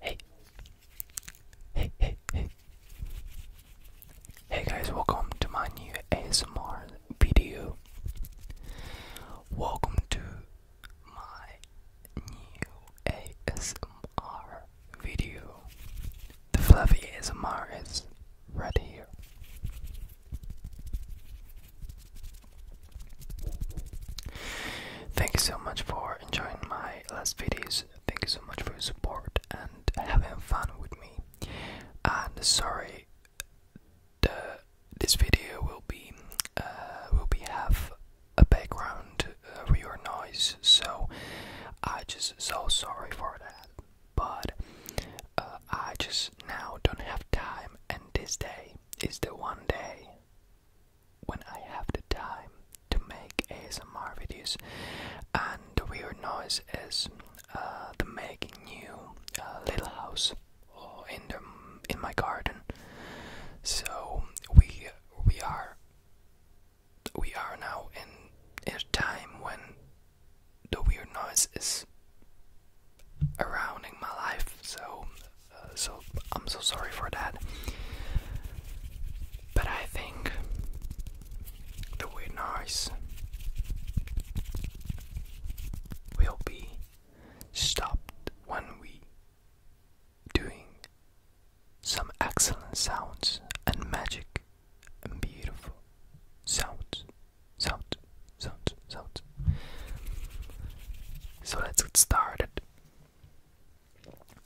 Hey. Hey, hey, hey. guys, welcome to my new ASMR video. Welcome to my new ASMR video. The fluffy ASMR is right here. Thank you so much for enjoying my last videos. Thank you so much for your support and having fun with me. And sorry the, this video will be uh, will be have a background uh, your noise, so I just so sorry for that. But uh, I just now don't have time, and this day is the one day when I have the time to make ASMR videos, and the weird noise is uh, the making new little house Oh, in the, in my garden. So we we are we are now in a time when the weird noise is in my life. So uh, so I'm so sorry for that. But I think the weird noise will be stopped when we doing some excellent sounds and magic and beautiful sounds sounds sounds sounds so let's get started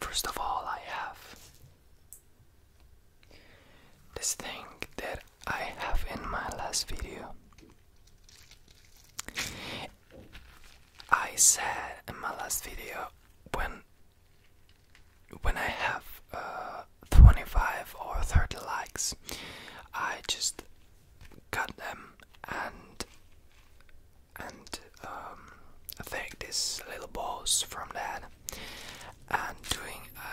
first of all i have this thing that I have in my last video. I said in my last video when when I have uh, 25 or 30 likes, I just cut them and and um, I take these little balls from that and doing a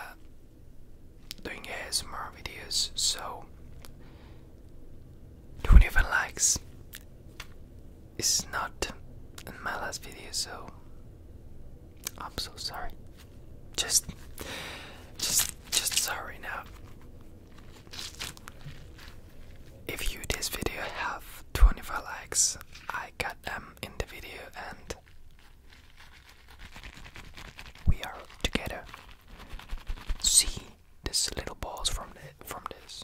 doing more videos, so 25 likes is not in my last video, so I'm so sorry. Just, just, just sorry now. If you this video have 25 likes, I got them in the video and we are together see this little balls from the from this.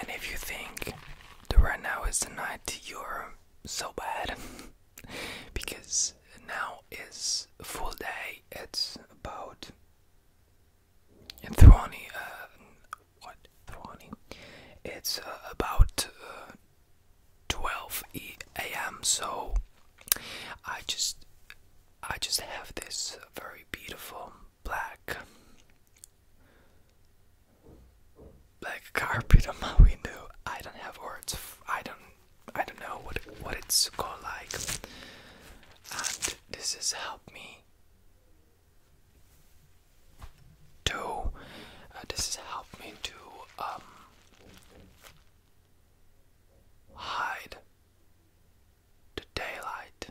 And if you think that right now is the night you're so bad, because now is full day, it's about Throni, uh, what Throni? It's uh, about uh, 12 a.m. So I just I just have this very beautiful black black carpet on my window. I don't have words. I don't I don't know what what it's called like. And this has helped me to uh, this has helped me to um hide the daylight.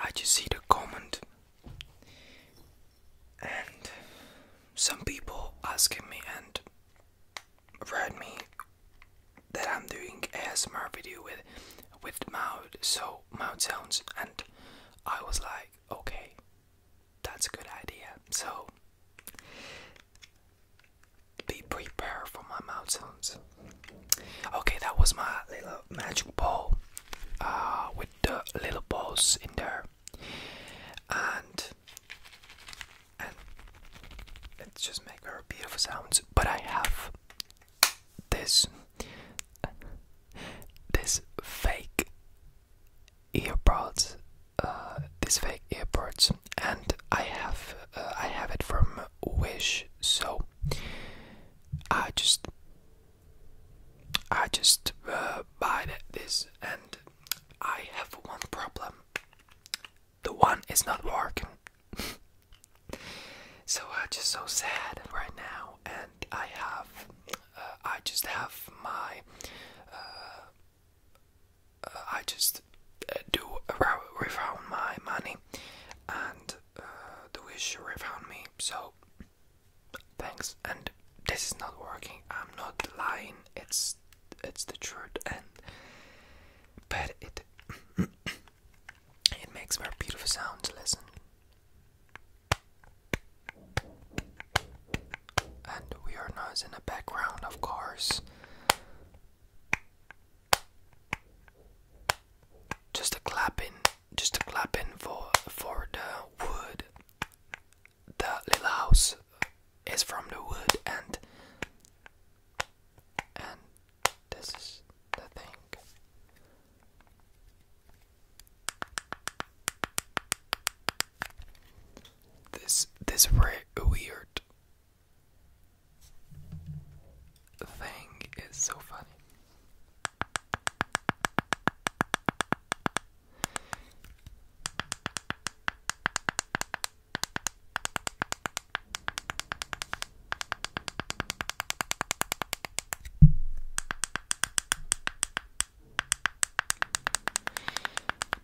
I just see the comment and some people asking me and read me that I'm doing ASMR video with with mouth so mouth sounds and I was like okay that's a good idea so be prepared for my mouth sounds okay that was my little magic ball uh, with the little balls in there and and let's just makes very beautiful sounds. But I have this this fake earbuds, uh, this fake earbuds, and I have uh, I have it from Wish, so I just I just uh, buy this and I have one problem. The one is not working. so I'm just so sad right now, and I have, uh, I just have my, uh, uh, I just do refund my money, and uh, the wish refund me. So thanks and this is not working i'm not lying it's it's the truth and but it it makes very beautiful sounds listen and we are noise in the background of course just a clapping just a clapping for for the wood the little house is from the wood and and this is the thing. This this weird thing is so funny.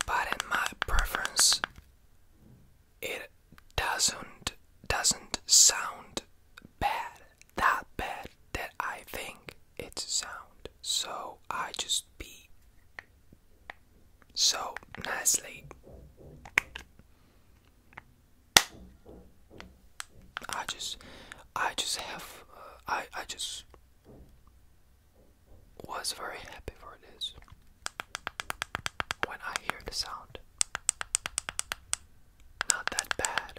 But in my preference, it doesn't doesn't sound bad that bad that I think it's sound so I just be so nicely. I just, I just have, uh, I, I just was very happy for this when I hear the sound. Not that bad.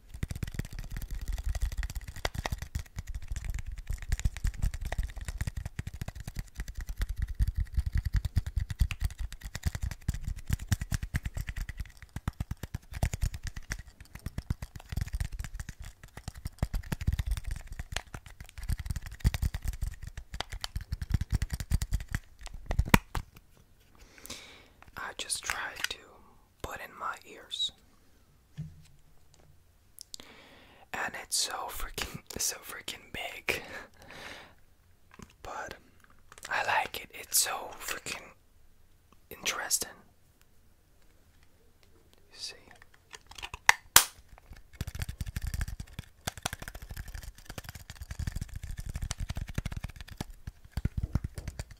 I just tried to but in my ears. And it's so freaking so freaking big. but I like it. It's so freaking interesting. You see.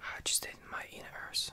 I just did my inner ears.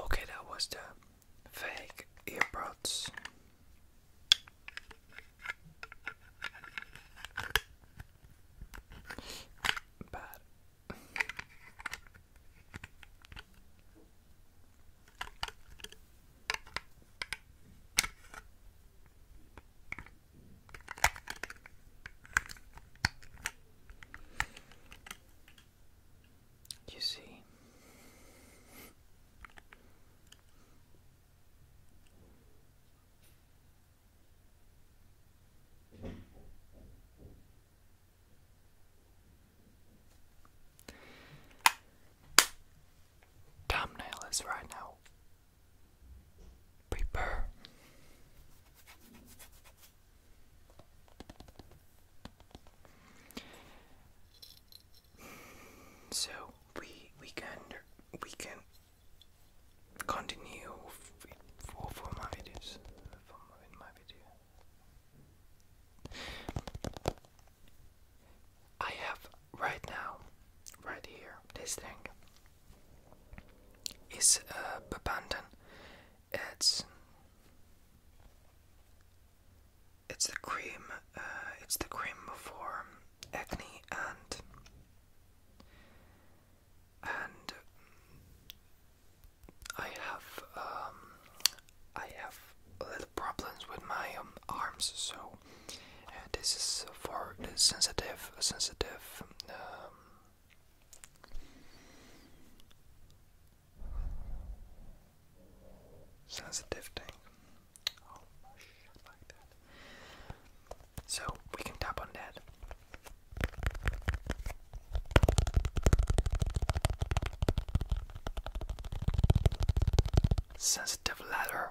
Okay, that was the fake earbuds. Bad. You see, Thumbnail is right now. Prepare. So we we can we can continue for for my videos for in my video. I have right now, right here, this thing is a uh, abandoned. It's it's the cream. Uh, it's the cream for acne and and I have um, I have little problems with my um, arms, so uh, this is for the sensitive sensitive. Um, sensitive thing. Oh, so we can tap on that. Sensitive letter.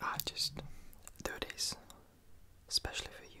I ah, just do this especially for you.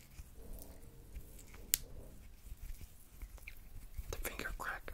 The finger crack.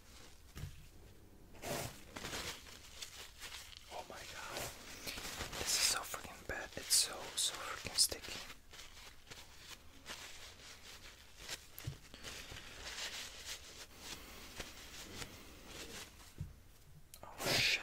Oh my god. This is so freaking bad. It's so, so freaking sticky. Oh shit.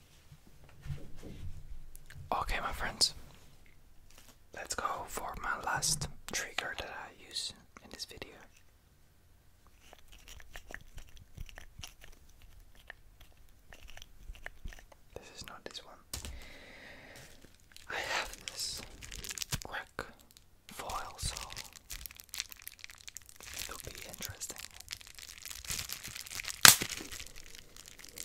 Okay, my friends, let's go for my last trigger that I use in this video. This is not this one. I have this crack foil, so it'll be interesting.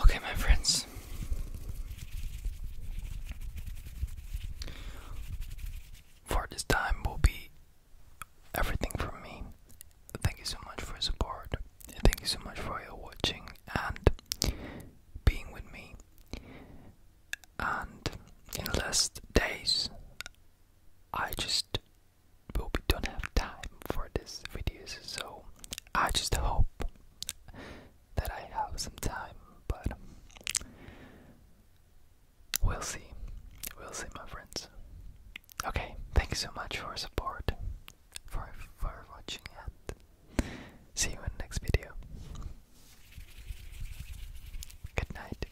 Okay, my friends. For this time will be everything from me. Thank you so much for your support. Thank you so much for your watching and being with me. And in the last days, I just will be don't have time for these videos, so I just hope that I have some time, but we'll see. We'll see, my friends. Okay, thanks so much for support, for, for watching, and see you in the next video. Good night.